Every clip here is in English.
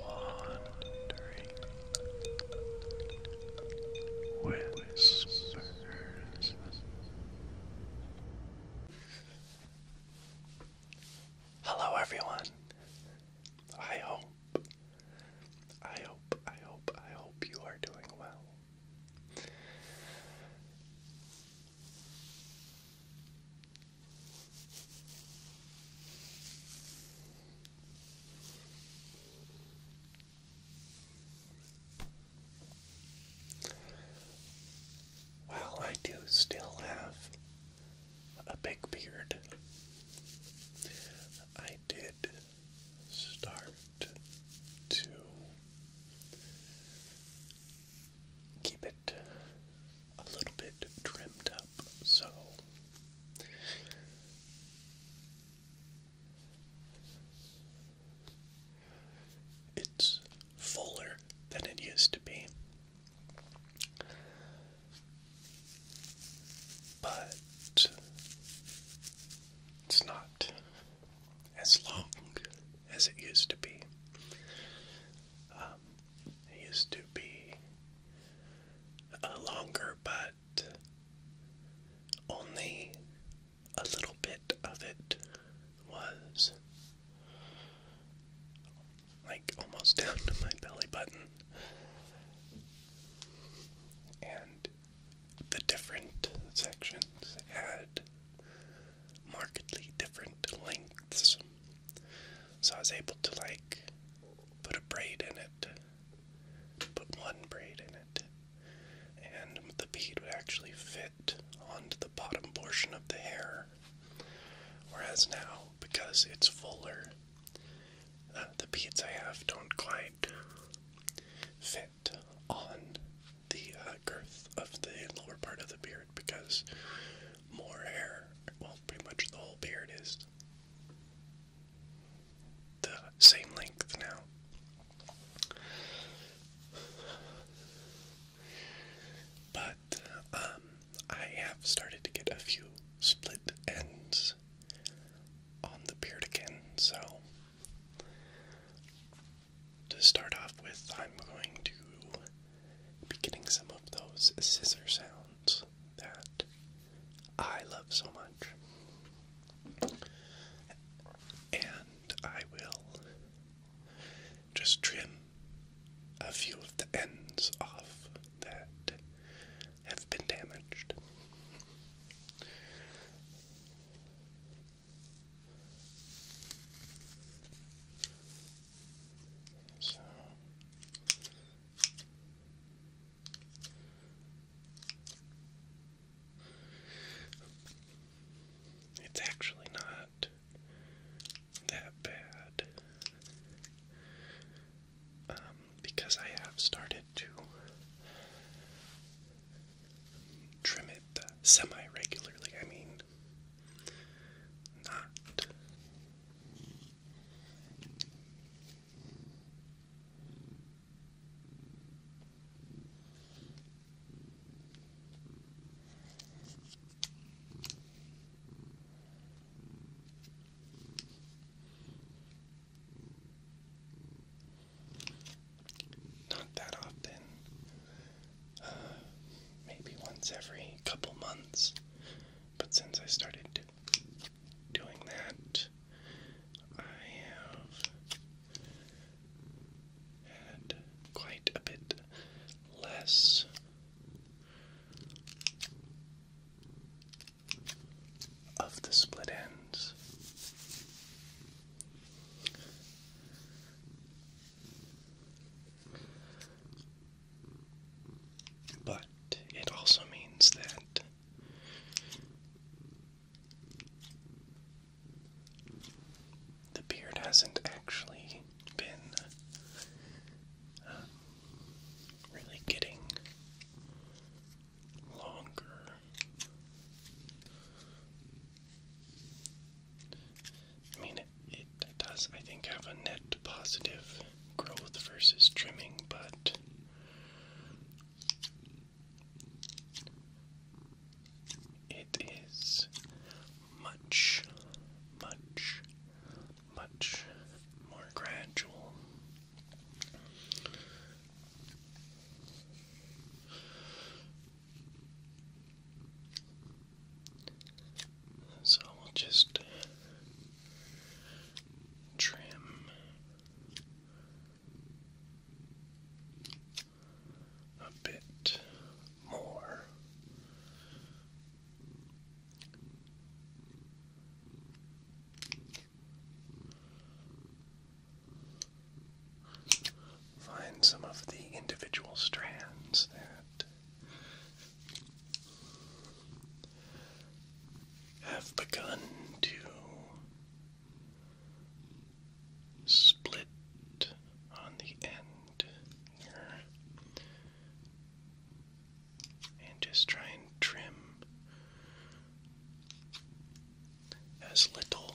Wandering whispers. Hello, everyone. I hope, I hope, I hope, I hope you are doing well. While I do still have a big beard, I did start to keep it a little bit trimmed up so it's fuller than it used to be. But it's not as long as it used to be. Um, used to be longer, but only a little bit of it was like almost down to my belly button. And the different sections had markedly different lengths. So I was able to like put a braid in it, put one braid in it, and the bead would actually fit onto the bottom portion of the hair. Whereas now, because it's fuller, uh, the beads I have don't quite fit on the uh, girth of the lower part of the beard because more hair. Well, pretty much the whole beard is the same length now. But um, I have started to get a few split ends on the beard again, so to start off with, I'm going to be getting some of those scissor sounds that I love so much. And I will just trim a few of the ends off that have been damaged. So it's actually not that bad um, because I have started to trim it uh, semi regularly. I mean, not. Not that often maybe once every couple months. But since I started doing that, I have had quite a bit less of the split ends. But it also means that the beard hasn't actually been uh, really getting longer I mean, it, does, I think, have a net positive growth versus trimming, but it is much, much, much more gradual. So we'll just uh, trim a bit more. Find some of the individual strands that have begun to split on the end and just try and trim as little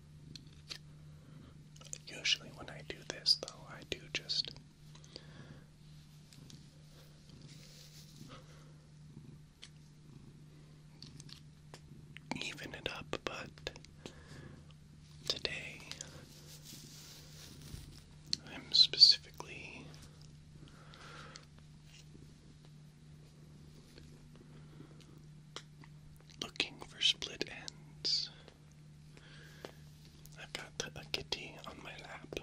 Usually, when I do this, though, I do just even it up, but today I'm specifically. Looking for split ends I've got a kitty on my lap.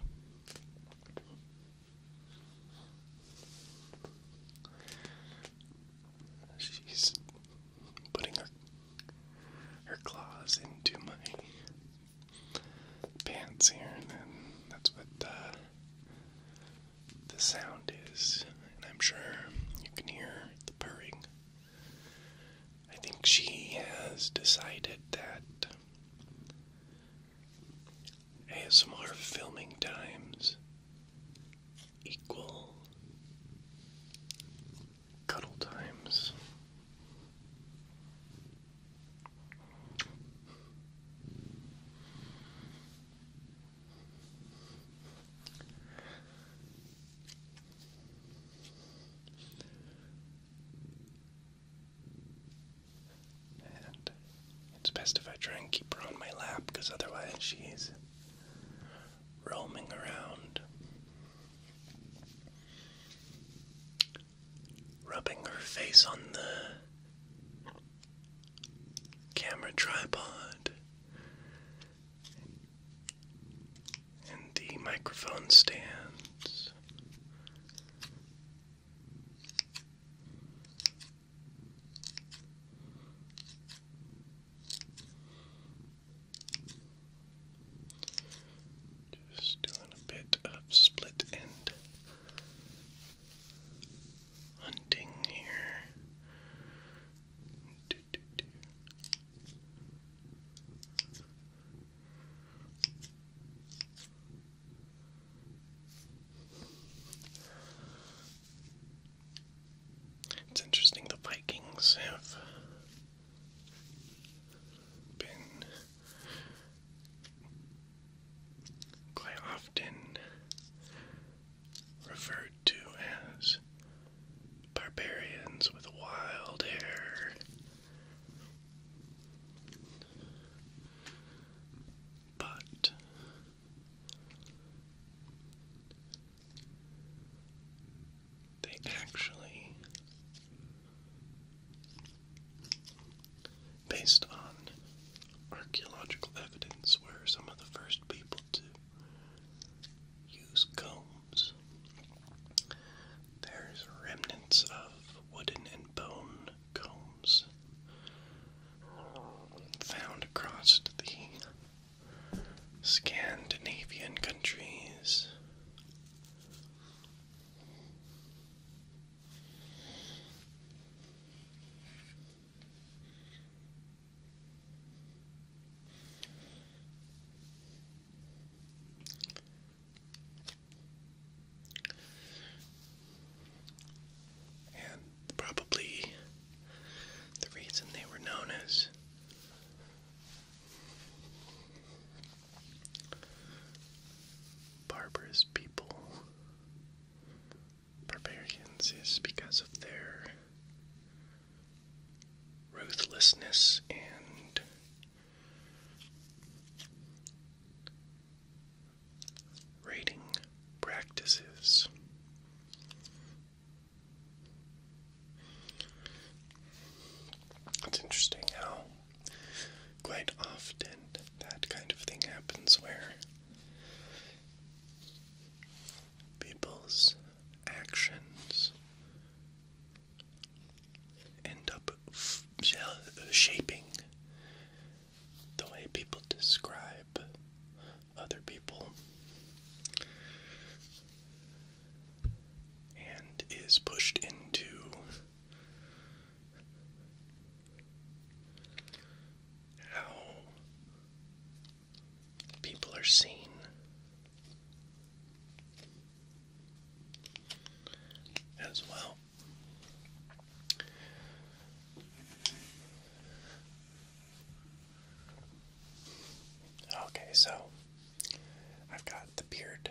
She's putting her her claws into my pants here, and then that's what uh, the sound is. And I'm sure you can hear the purring I think she has decided that ASMR filming times equal cuddle times it's best if I try and keep her on my lap because otherwise she's roaming around, rubbing her face on the camera tripod and the microphone stands. Just doing a bit of split end hunting here. It's interesting the Vikings have been quite often referred referred as barbarians with wild hair. But they actually, based on archaeological evidence, were some of the first people to use combs. There's remnants of wooden and bone combs found across the Scandinavian countries. And probably the reason they were known as barbarous people, barbarians, is because of their ruthlessness and rating practices. It's interesting how quite often that kind of thing happens where people's actions end up shaping the way people describe other people and is pushed into how people are seen. As well, okay, so I've got the beard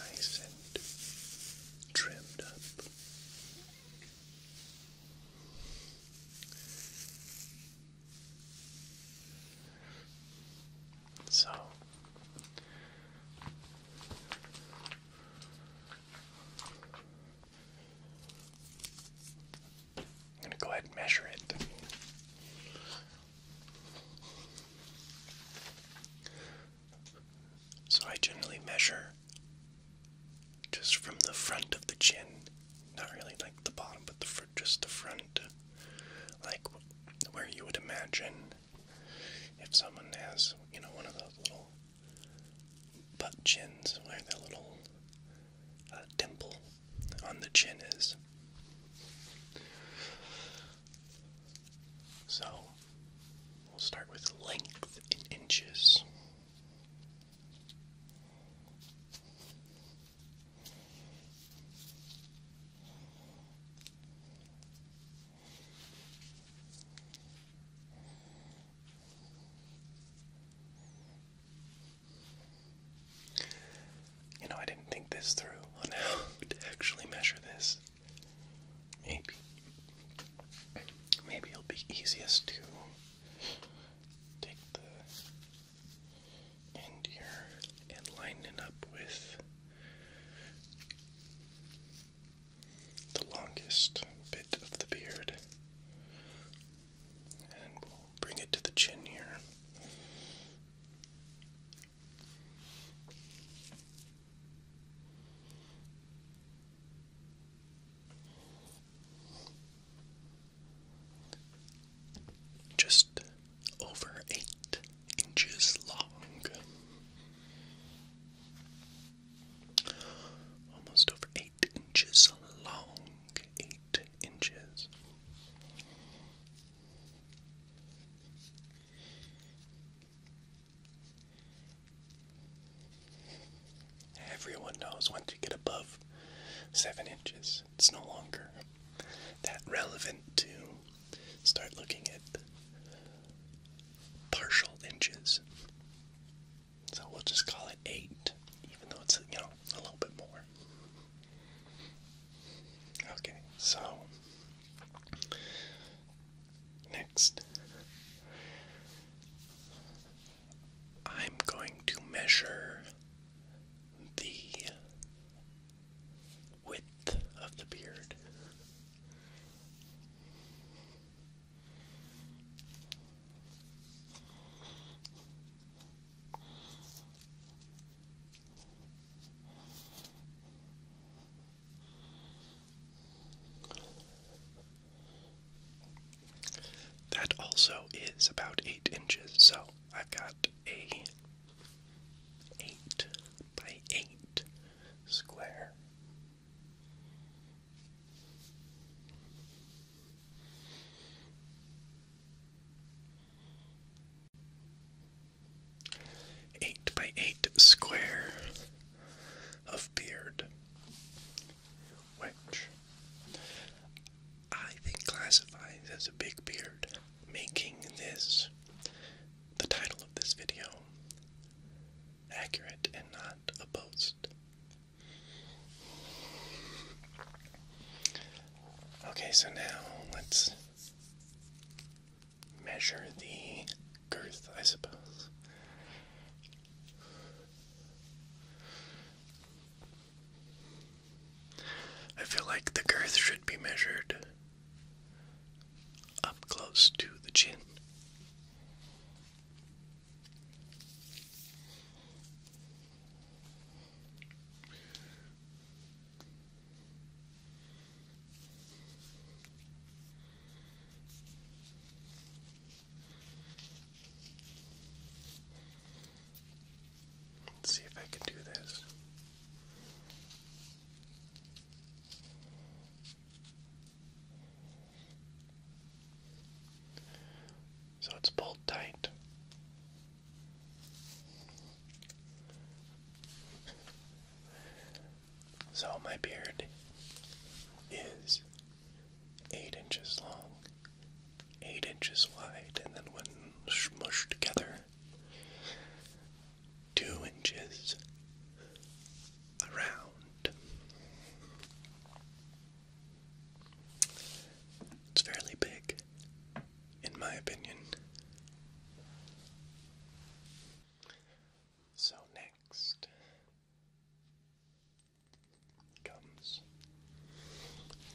nice and trimmed up. So I'm going to go ahead and measure it. So I generally measure just from the front of the chin, not really like the bottom, but the front, just the front, like where you would imagine if someone has, you know, one of those little butt chins where the little uh, dimple on the chin is. So we'll start with length in inches. You know, I didn't think this through on how to actually measure this. Maybe. Maybe it'll be easiest to Take the end here and line it up with the longest bit of the beard. And we'll bring it to the chin here just over eight inches long. Almost over eight inches long. Eight inches. Everyone knows once you get above seven inches, it's no longer that relevant to start looking at partial inches. So we'll just call it eight, even though it's, you know, a little bit more. Okay, so next I'm going to measure the width of the beard. That also is about eight inches, so I've got a eight by eight square. Eight by eight square of beard which I think classifies as a big beard, making this the title of this video accurate and not a boast. Okay, so now let's measure the girth, I suppose. I feel like the girth should be measured up close to the chin. Let's see if I can do this. So it's pulled tight. So my beard is eight inches long, eight inches wide, and then when smushed together, two inches around. It's fairly big, in my opinion. So, next, comes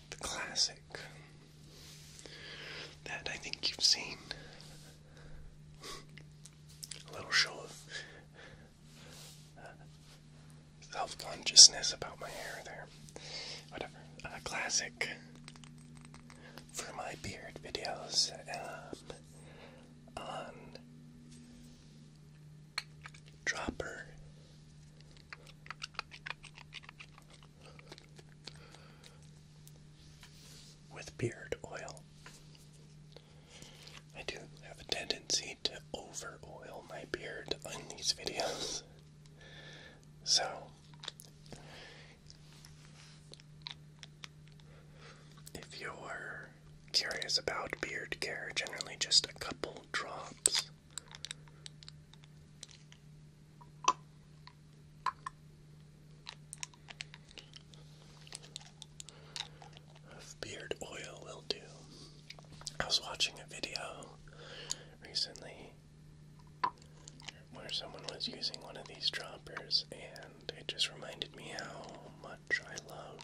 the classic that I think you've seen. A little show of uh, self consciousness about my hair there. Whatever. Uh, classic for my beard videos um, on Dropper with beard oil. I do have a tendency to over oil my beard in these videos. So, if you're curious about beard care, generally just a couple drops beard oil will do. I was watching a video recently where someone was using one of these droppers, and it just reminded me how much I love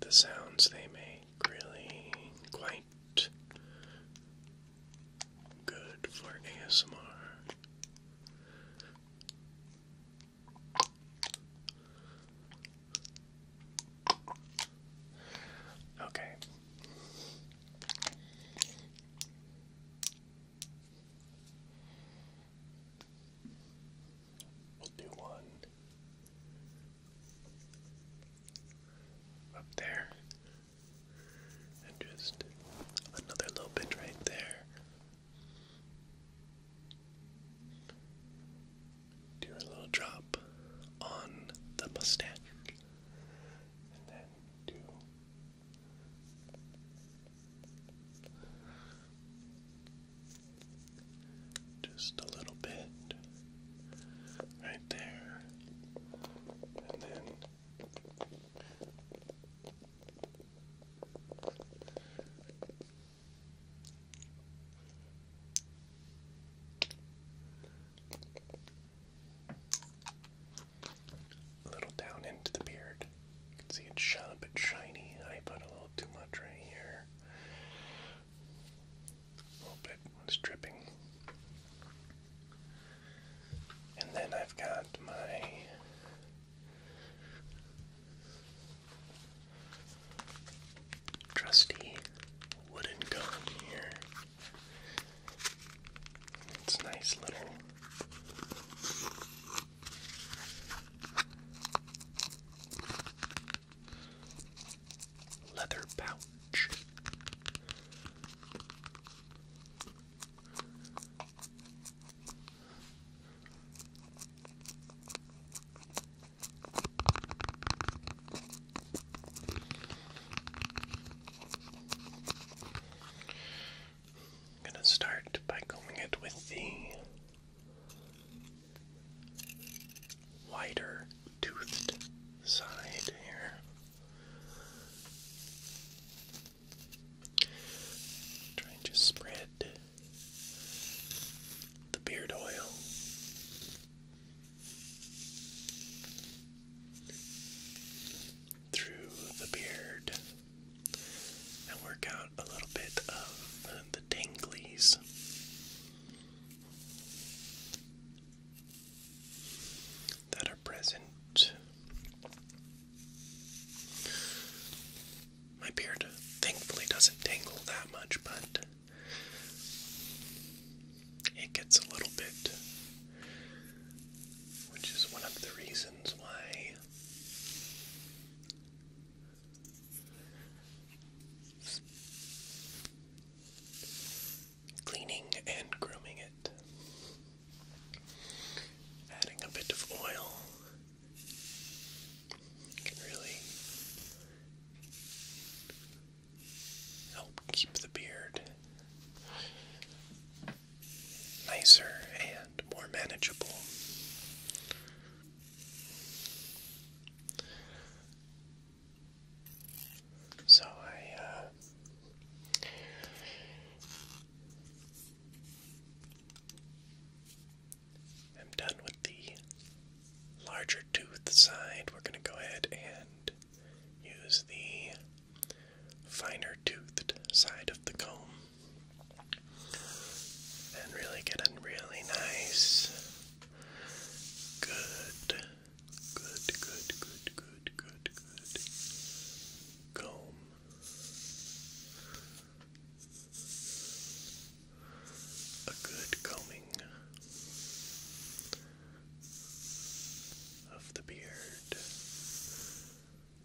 the sounds they make really quite good for ASMR. Okay. We'll do one up there, and just another little bit right there. Do a little drop on the mustache, and then do just a little bit right there, and then a little down into the beard. You can see it's shot up and shiny. I put a little too much right here. A little bit was dripping. And then I've got my trusty wooden comb here. It's nice little leather pouch. I'm gonna start by combing it with the wider toothed side here. Try and spread the beard oil. Through the beard, and work out a little bit of the tinglies. That are present. My beard thankfully doesn't tingle that much, but it gets a little bit, which is one of the reasons cleaning and grooming it, adding a bit of oil can really help keep the beard nicer and more manageable. So I uh, am done with the larger tooth side. We're going to go ahead and use the finer toothed side of the comb and really get a really nice, good, good, good, good, good, good, good comb. A good combing of the beard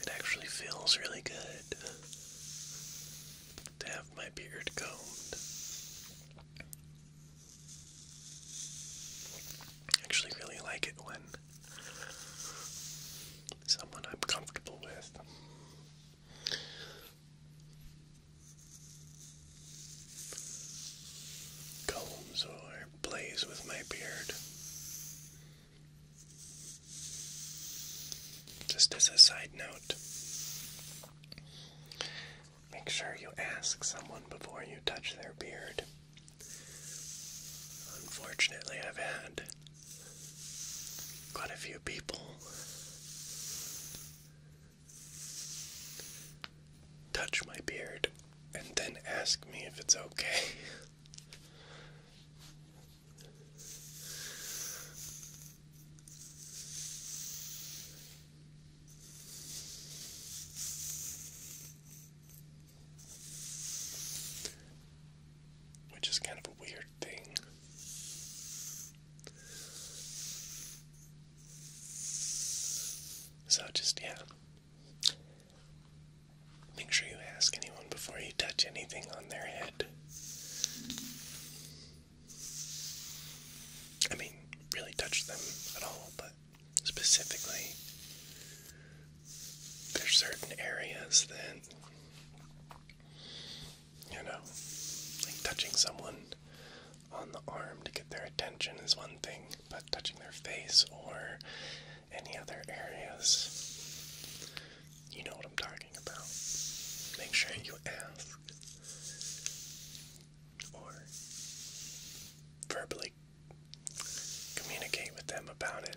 It actually feels really good to have my beard combed. I actually really like it when someone I'm comfortable with combs or plays with my beard. Just as a side note, make sure you ask someone before you touch their beard. Unfortunately, I've had quite a few people touch my beard and then ask me if it's okay. Which is kind of a weird thing. So, just yeah, Make sure you ask anyone before you touch anything on their head. I mean, really touch them at all, but specifically, there's certain areas Then you know, like touching someone on the arm to get their attention is one but touching their face or any other areas, you know what I'm talking about. Make sure you ask or verbally communicate with them about it.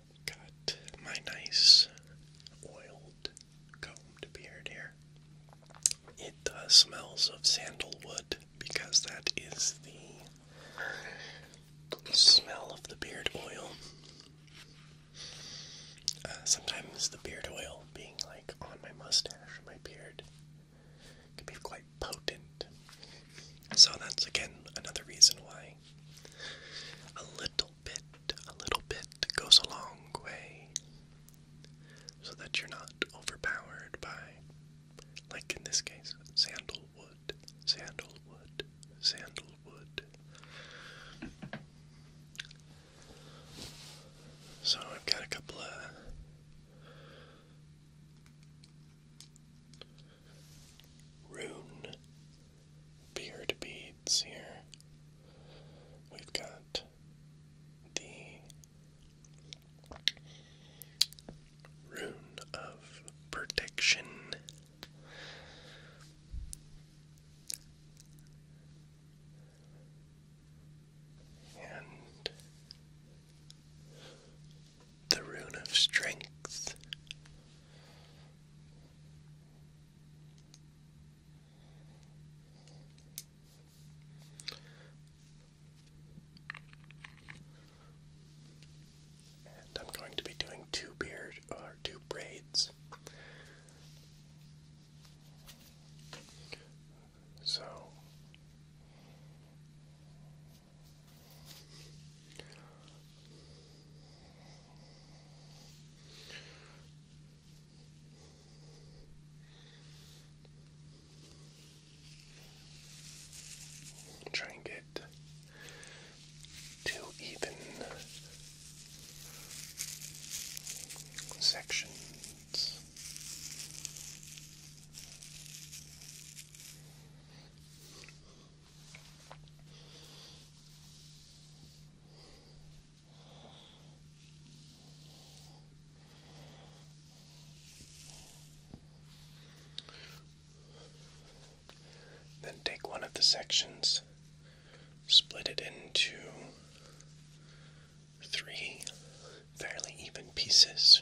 Got my nice oiled combed beard here. It smells of sandalwood because that is the smell of the beard oil. Uh, sometimes the beard oil being like on my mustache, my beard, can be quite potent. So that's again another reason why a little a little bit goes a long way so that you're not overpowered by, like in this case, sandalwood, sandalwood, sandalwood. So I've got a couple of. Rune beard beads here. We've got the Rune of Protection. And the Rune of Strength. I'm going to be doing two beard or two braids. So Try and get two even sections. Then take one of the sections, split it into three fairly even pieces.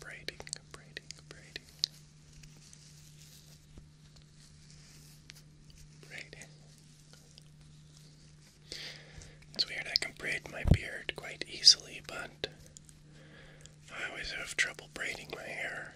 braiding, braiding, braiding, braiding. It's weird, I can braid my beard quite easily, but I always have trouble braiding my hair.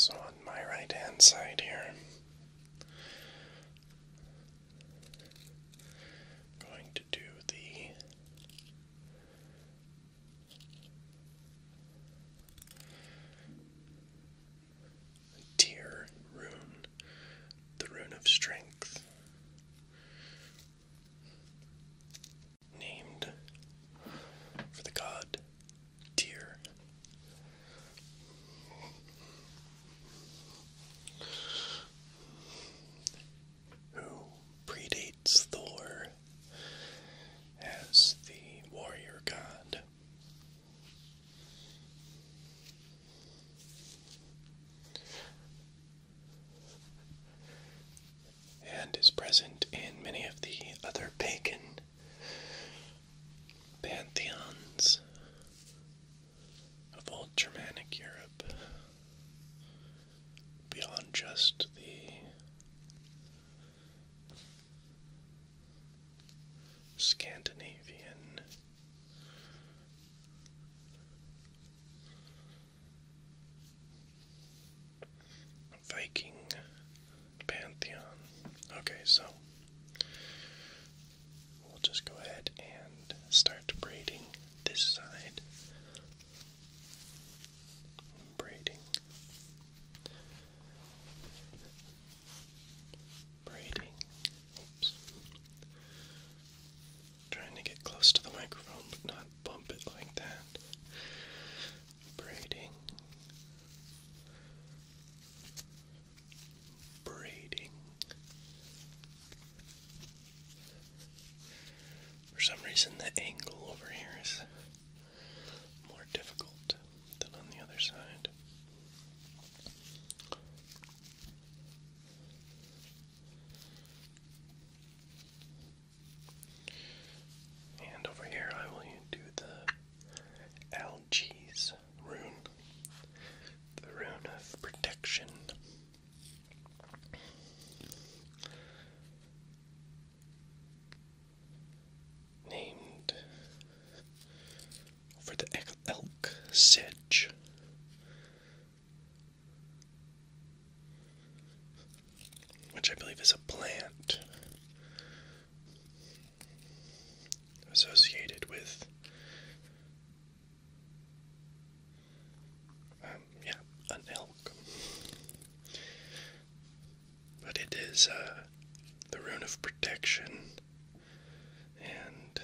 So, on my right hand side here, I'm going to do the Tear Rune, the Rune of Strength. Named for the god Tyr who predates Thor as the warrior god. And is present in many of the other pagan pantheons of old Germanic Europe beyond just the Scandinavian Viking pantheon. Okay, so we'll just go ahead and start braiding this side braiding, braiding. Oops. Trying to get close to the microphone, but not bump it like that. Braiding, braiding. For some reason, the angle over here is more difficult than on the other side. And over here, I will do the Algees rune, the rune of protection named for the elk sedge. Which I believe is a plant associated with um, yeah, an elk. But it is uh, the rune of protection, and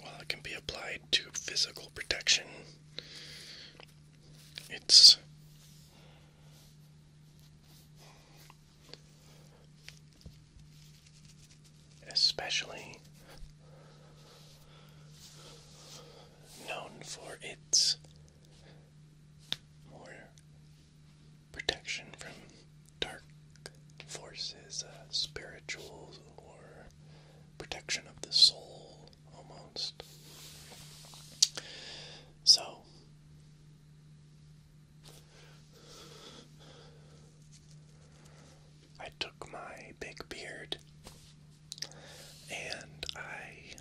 while it can be applied to physical protection, it's especially known for its more protection from dark forces, uh, spiritual or protection of the soul, almost. So. I took my big beard and I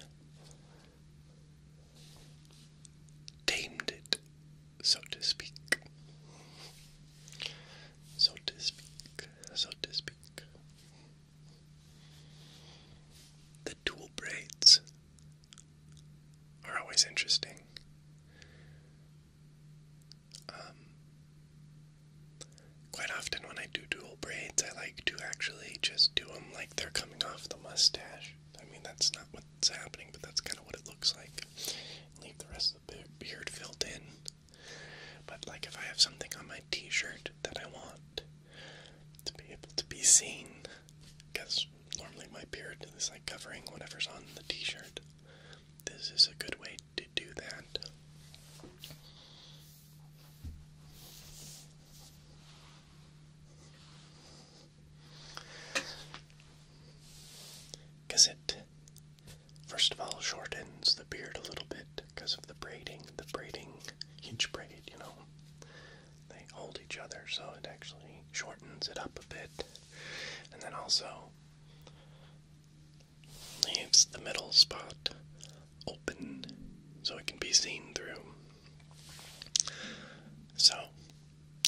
tamed it, so to speak. So to speak, so to speak. The dual braids are always interesting. Um, Quite often, when I do dual braids, I like to actually just do them like they're coming off the mustache. I mean, that's not what's happening, but that's kind of what it looks like. Leave the rest of the beard filled in. But, like, if I have something on my t shirt that I want to be able to be seen, because normally my beard is like covering whatever's on the t shirt, this is a good way to do that. Because it, first of all, shortens the beard a little bit because of the braiding. The braiding, each braid, you know, they hold each other, so it actually shortens it up a bit. And then also, leaves the middle spot open so it can be seen through. So,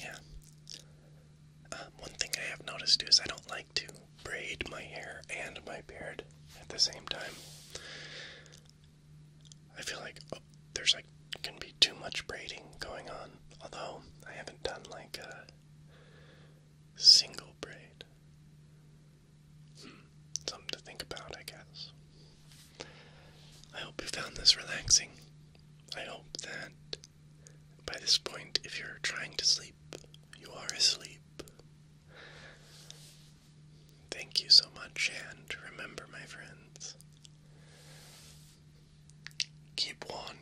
yeah. Um, one thing I have noticed is I don't like to braid my hair and my beard at the same time. I feel like oh, there's like can be too much braiding going on. Although I haven't done like a single braid something to think about, I guess. I hope you found this relaxing. I hope that by this point, if you're trying to sleep, you are asleep. Thank you so much, and remember, my friends, keep wandering.